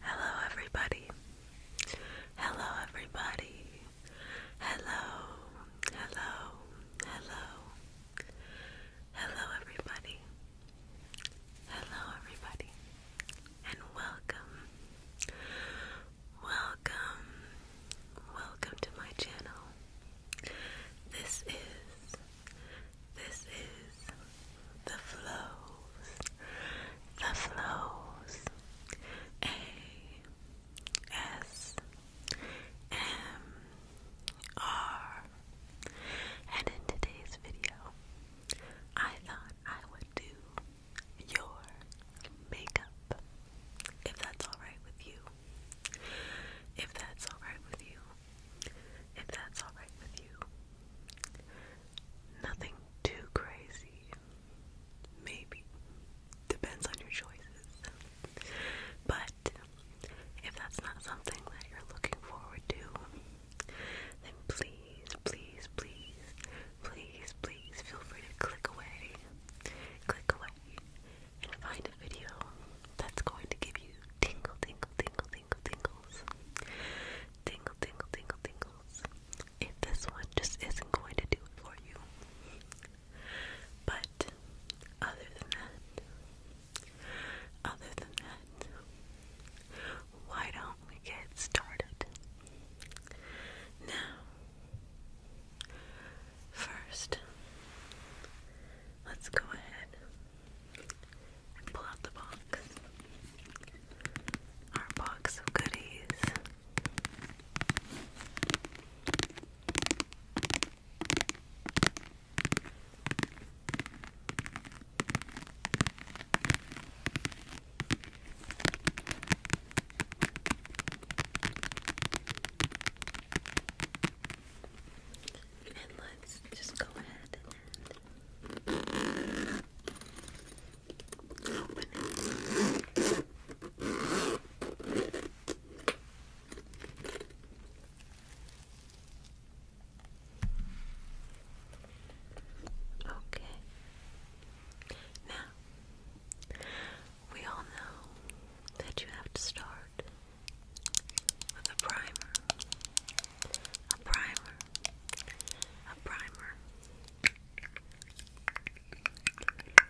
Hello, everybody. Hello, everybody. Hello, hello, hello. Hello, everybody. Hello, everybody. And welcome. Welcome. Welcome to my channel. This is this is the flows, the flows. A S M R. And in today's video, I thought I would do your makeup. If that's alright with you. If that's alright with you if that's alright with you. Nothing too crazy. Maybe. Depends on your choices. But if that's not something that you're looking forward to, then please, please, please, please, please feel free to click away. Click away and find a video that's going to give you tingle, tingle, tingle, tingle, tingle, tingles. Tingle, tingle, tingle, tingles. If this one just isn't going to do it for you. But other than that, other than that, why don't we get started? Now, first, let's go ahead pull out the box. Our box of goodies. And let's just go ahead and Okay. Now, we all know that you have to start with a primer, a primer, a primer.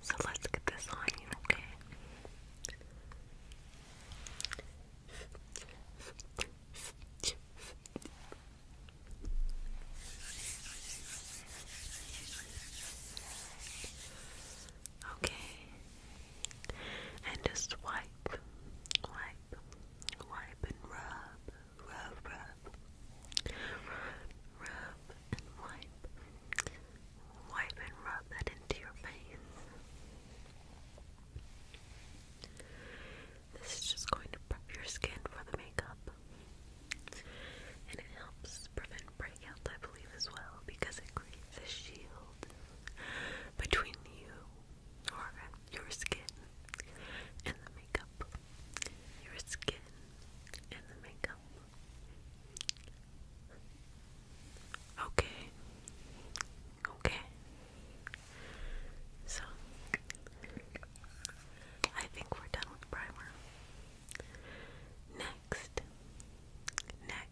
So let's get this on you, okay? Okay, and just wipe, wipe, wipe, and rub, rub, rub, rub and wipe, wipe and rub that into your face. This is just going to prep your skin for the makeup. And it helps prevent breakouts, I believe, as well, because it creates a shield between you your skin and the makeup. Your skin and the makeup. Okay. Okay. So I think we're done with primer. Next. Next.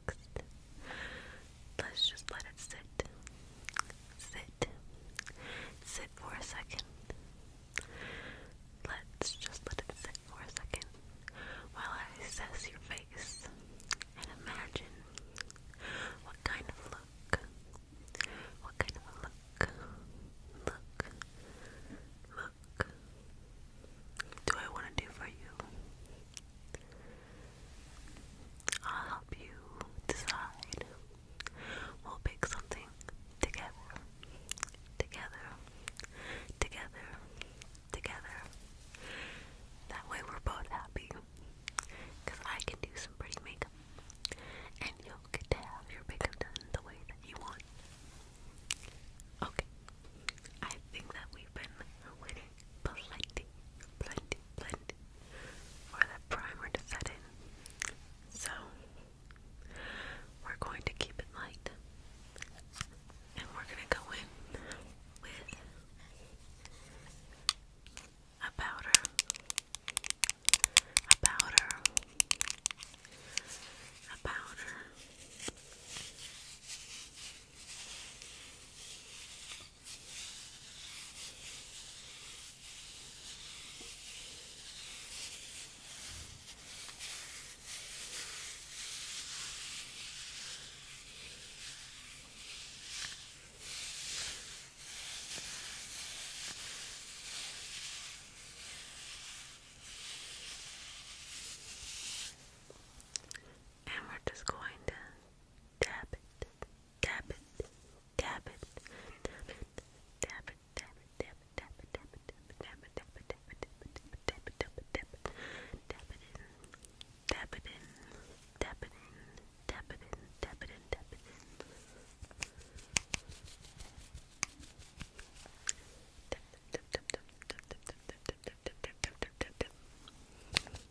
Let's just let it sit. Sit. Sit for a second. Let's just let it sit for a second while I assess your face and imagine what kind of look, what kind of look, look, look do I want to do for you? I'll help you decide. We'll pick something together. Together. Together. Together. That way we're both happy. Because I can do some pretty makeup. And you'll get to have your makeup done the way that you want. Okay. I think that we've been waiting plenty, plenty, plenty for that primer to set in. So, we're going to keep it light and we're going to go in with a powder, a powder, a powder. And we're just going to tap it, tap it, tap it, tap it, tap it, tap it, tap it, tap it, tap it, tap it, tap it, tap it, tap it, tap it, tap it, tap it in, tap it in, tap it in, tap it in, tap it in, tap it in. Tap tap tap tap tap tap tap tap tap tap tap tap tap tap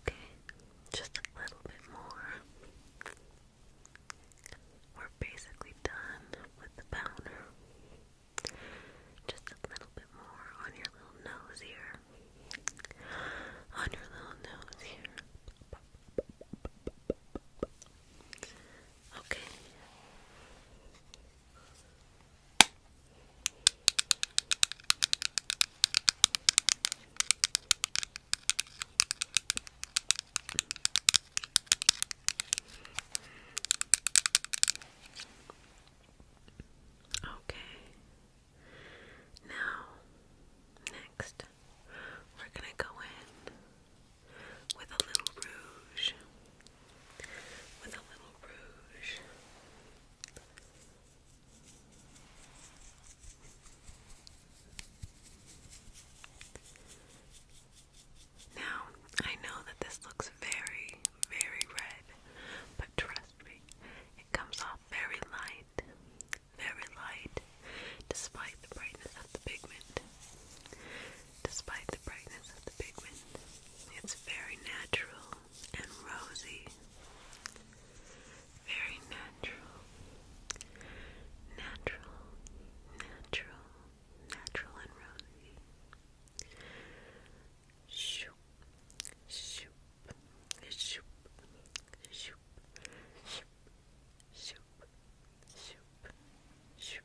Okay, just a little bit more. We're basically done with the powder. Just a little bit more on your little nose here. On your little nose here. Okay. Okay. Now, next, we're going to go in with a little rouge with a Now, I know that this looks very, very red, but trust me, it comes off very light, very light, despite the brightness of the pigment. Despite the brightness of the pigment, it's very natural and rosy. Very natural. Natural, natural, natural and rosy. Shoop, shoop, shoop, shoop, shoop, shoop, shoop, shoop,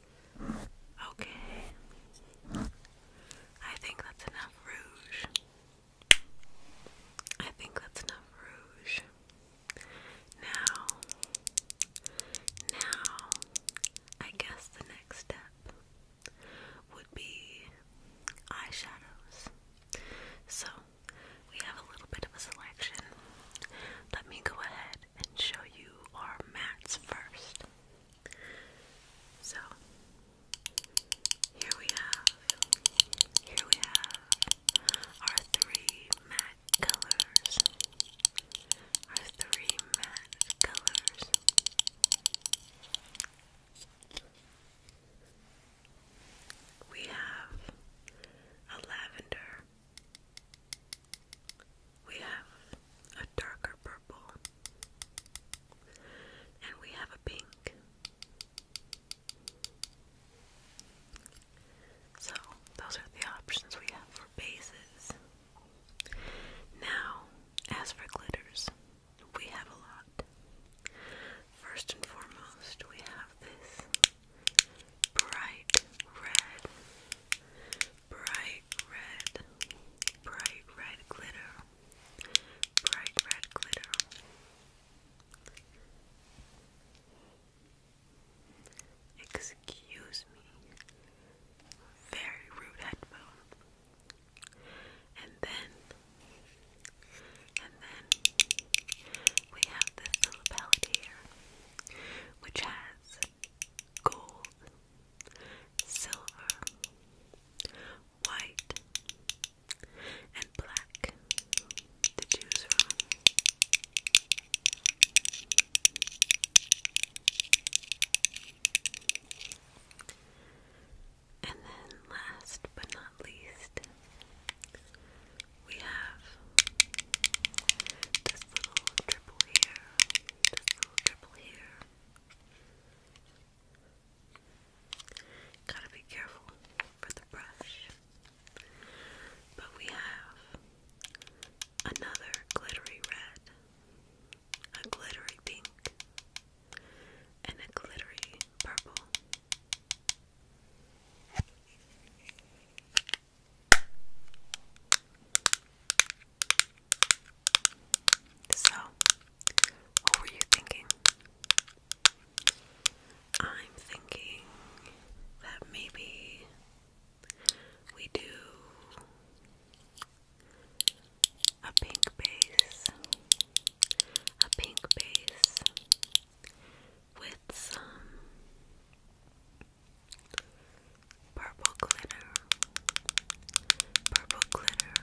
Okay. I think that's enough rouge. I think that's enough rouge. Now, now, I guess the next step would be eyeshadows. So, we have a little bit of a selection. Let me go ahead and show you our mats first. So here we have, here we have our three matte colors. Our three matte colors. We have a lavender, we have a darker purple, and we have a pink. So, those are the options we have for bases. Now, as for glitters, we have a lot. First and foremost, we have this bright red bright red, bright red glitter, bright red glitter. Excuse me, very rude headphone. And then, and then we have this little palette here, which has gold, silver, white, and black to choose from. And then, last but not least, we have this little triple here Gotta be careful for the brush. But we have another glittery red, a glittery pink, and a glittery purple. So, what were you thinking? I'm thinking that maybe we do a pink base, a pink base with some purple glitter, purple glitter,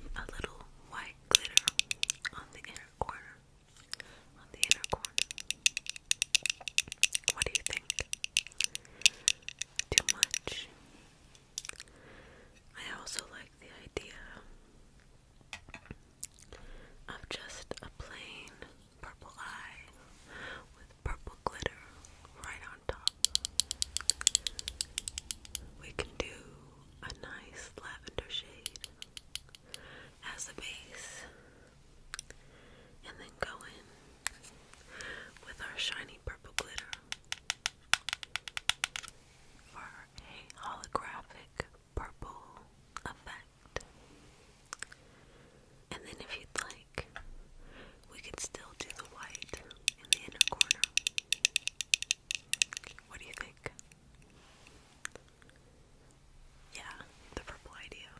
and a little white glitter on the inner corner. On the inner corner. What do you think? Too much? I also like the idea of just a plain purple eye with purple glitter right on top. We can do a nice lavender shade as a base and then go in with our shiny purple glitter for a holographic purple effect. And then, if you'd like, we could still do the white in the inner corner. What do you think? Yeah, the purple idea.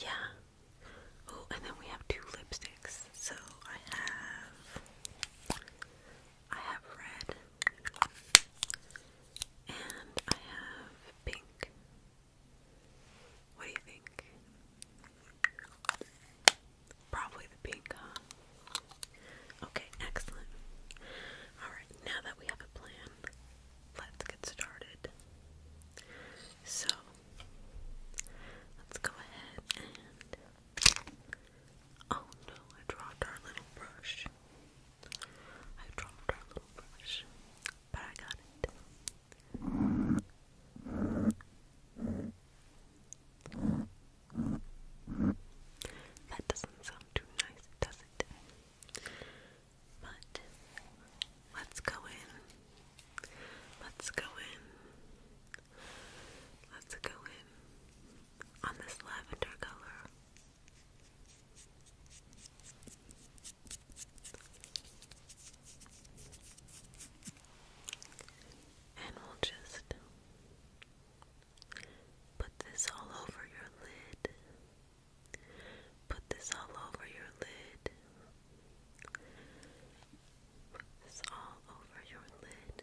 Yeah. Oh, and then we have two lipsticks. So I have I have red and I have pink. What do you think? Probably the pink, huh? Okay, excellent. Alright, now that we have a plan, let's get started. So, let's go ahead and. Oh no, I dropped our little brush. I dropped our little brush, but I got it. That doesn't sound too nice, does it? But let's go in. Let's go in. Let's go in on this lavender color. And we'll just put this all over your lid. Put this all over your lid. Put this all over your lid.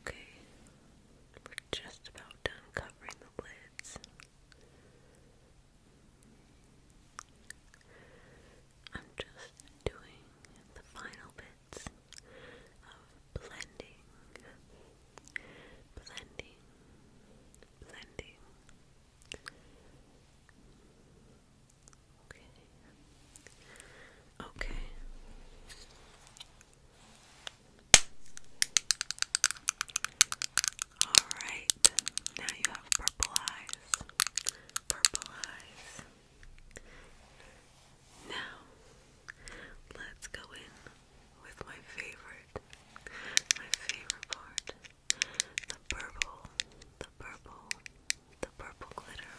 Okay, we're just about done covering the lids. I'm just doing the final bits of blending, blending, blending. Okay. Okay. Alright, now you have purple eyes. Purple eyes. Now, let's go in with my favorite, my favorite part the purple, the purple, the purple glitter.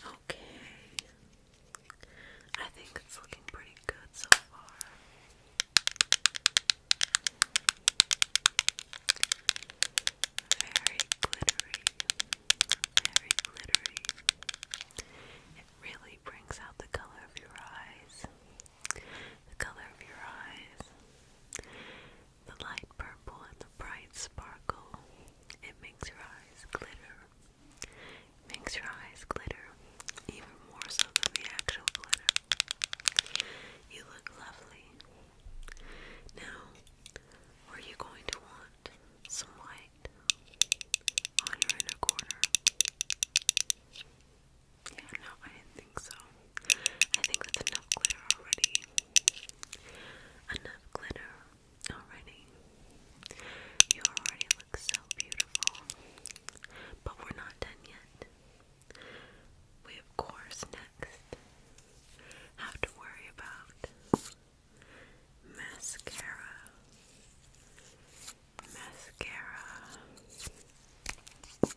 Okay. I think it's looking pretty good so far. Very glittery. Very glittery. It really brings out the color of your eyes. The color of your eyes the light purple and the bright sparkle. It makes your eyes glitter. makes your eyes glitter, even more so than the actual glitter. You look lovely. Now, are you going to want some light on your inner corner? Yeah, no, I think so. I think that's enough glitter already. Enough glitter already. You already look so beautiful. But we're not done yet. We, of course, next have to worry about mascara. Mascara.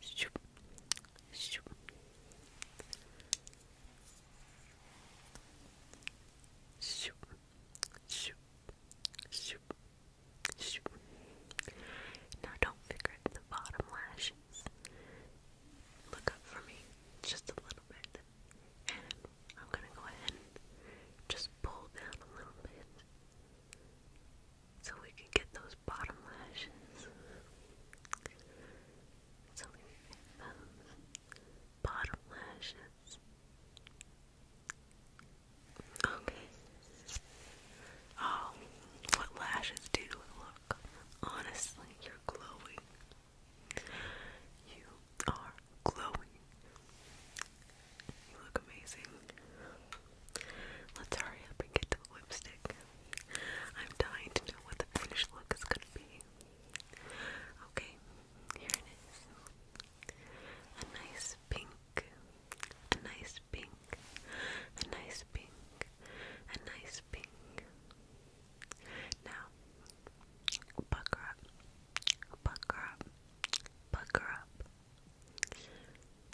shoop, shoop. Shoop, shoop, shoop, shoop. Now don't figure out the bottom lashes. Look up for me just a little bit. And I'm gonna go ahead and just pull down a little bit so we can get those bottom lashes. So we get those bottom lashes. Okay. Oh, what lashes do look? Honestly, you're glowing. You are glowing. You look amazing. Let's hurry up and get to the lipstick. I'm dying to know what the finished look is gonna be. Okay, here it is. A nice pink, a nice pink, a nice pink, a nice pink. Now, pucker up, pucker up, pucker up.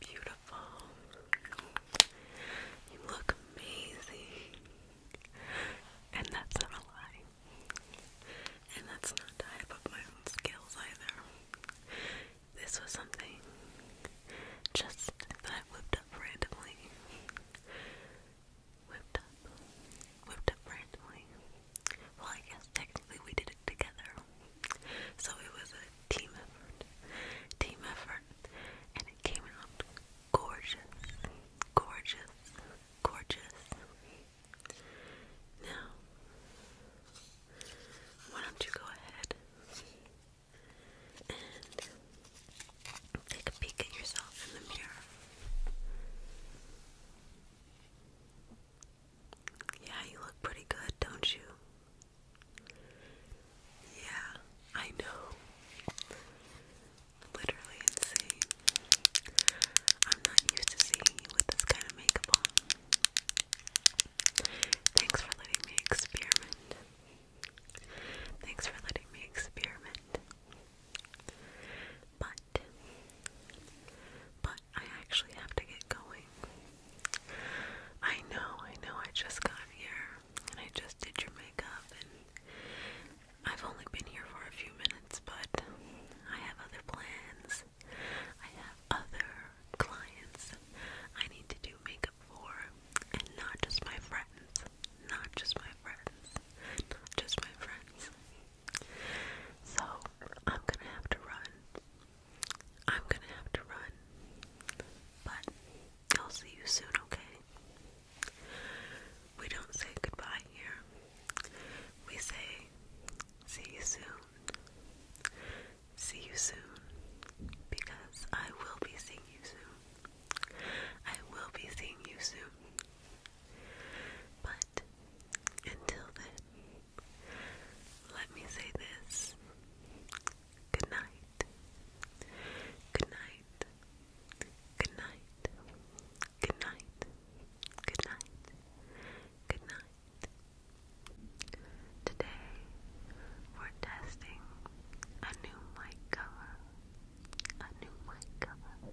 Beautiful. You look amazing. And that's not a lie. And that's not to hype my own skills either. This was something just that I whipped up randomly. Whipped up. Whipped up randomly. Well, I guess technically we did it together. So it was a team effort. Team effort. And it came out gorgeous. Gorgeous. Gorgeous. Now why don't you go ahead and take a peek at yourself in the mirror? Yeah, you look pretty good, don't you? Yeah, I know. Literally insane. I'm not used to seeing you with this kind of makeup on. Thanks for letting me experiment. Thanks for letting me experiment. But, but I actually have to get going. I know, I know, I just got here and I just did your makeup and I've only been here for a few minutes, but I have other plans. I have other clients I need to do makeup for and not just my friends. Not just my friends. Not just my friends. So I'm gonna have to run. I'm gonna have to run, but I'll see you soon, okay? We don't say goodbye here, we say, see you soon. See you soon, because I will be seeing you soon. I will be seeing you soon. But until then, let me say this. Good night. Good night. Good night. Good night. Good night. Good night. Today we're testing a new mic cover. A new mic cover.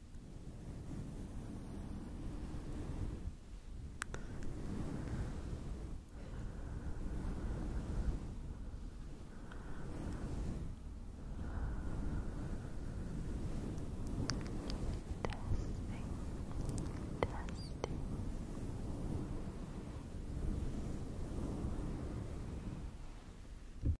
testing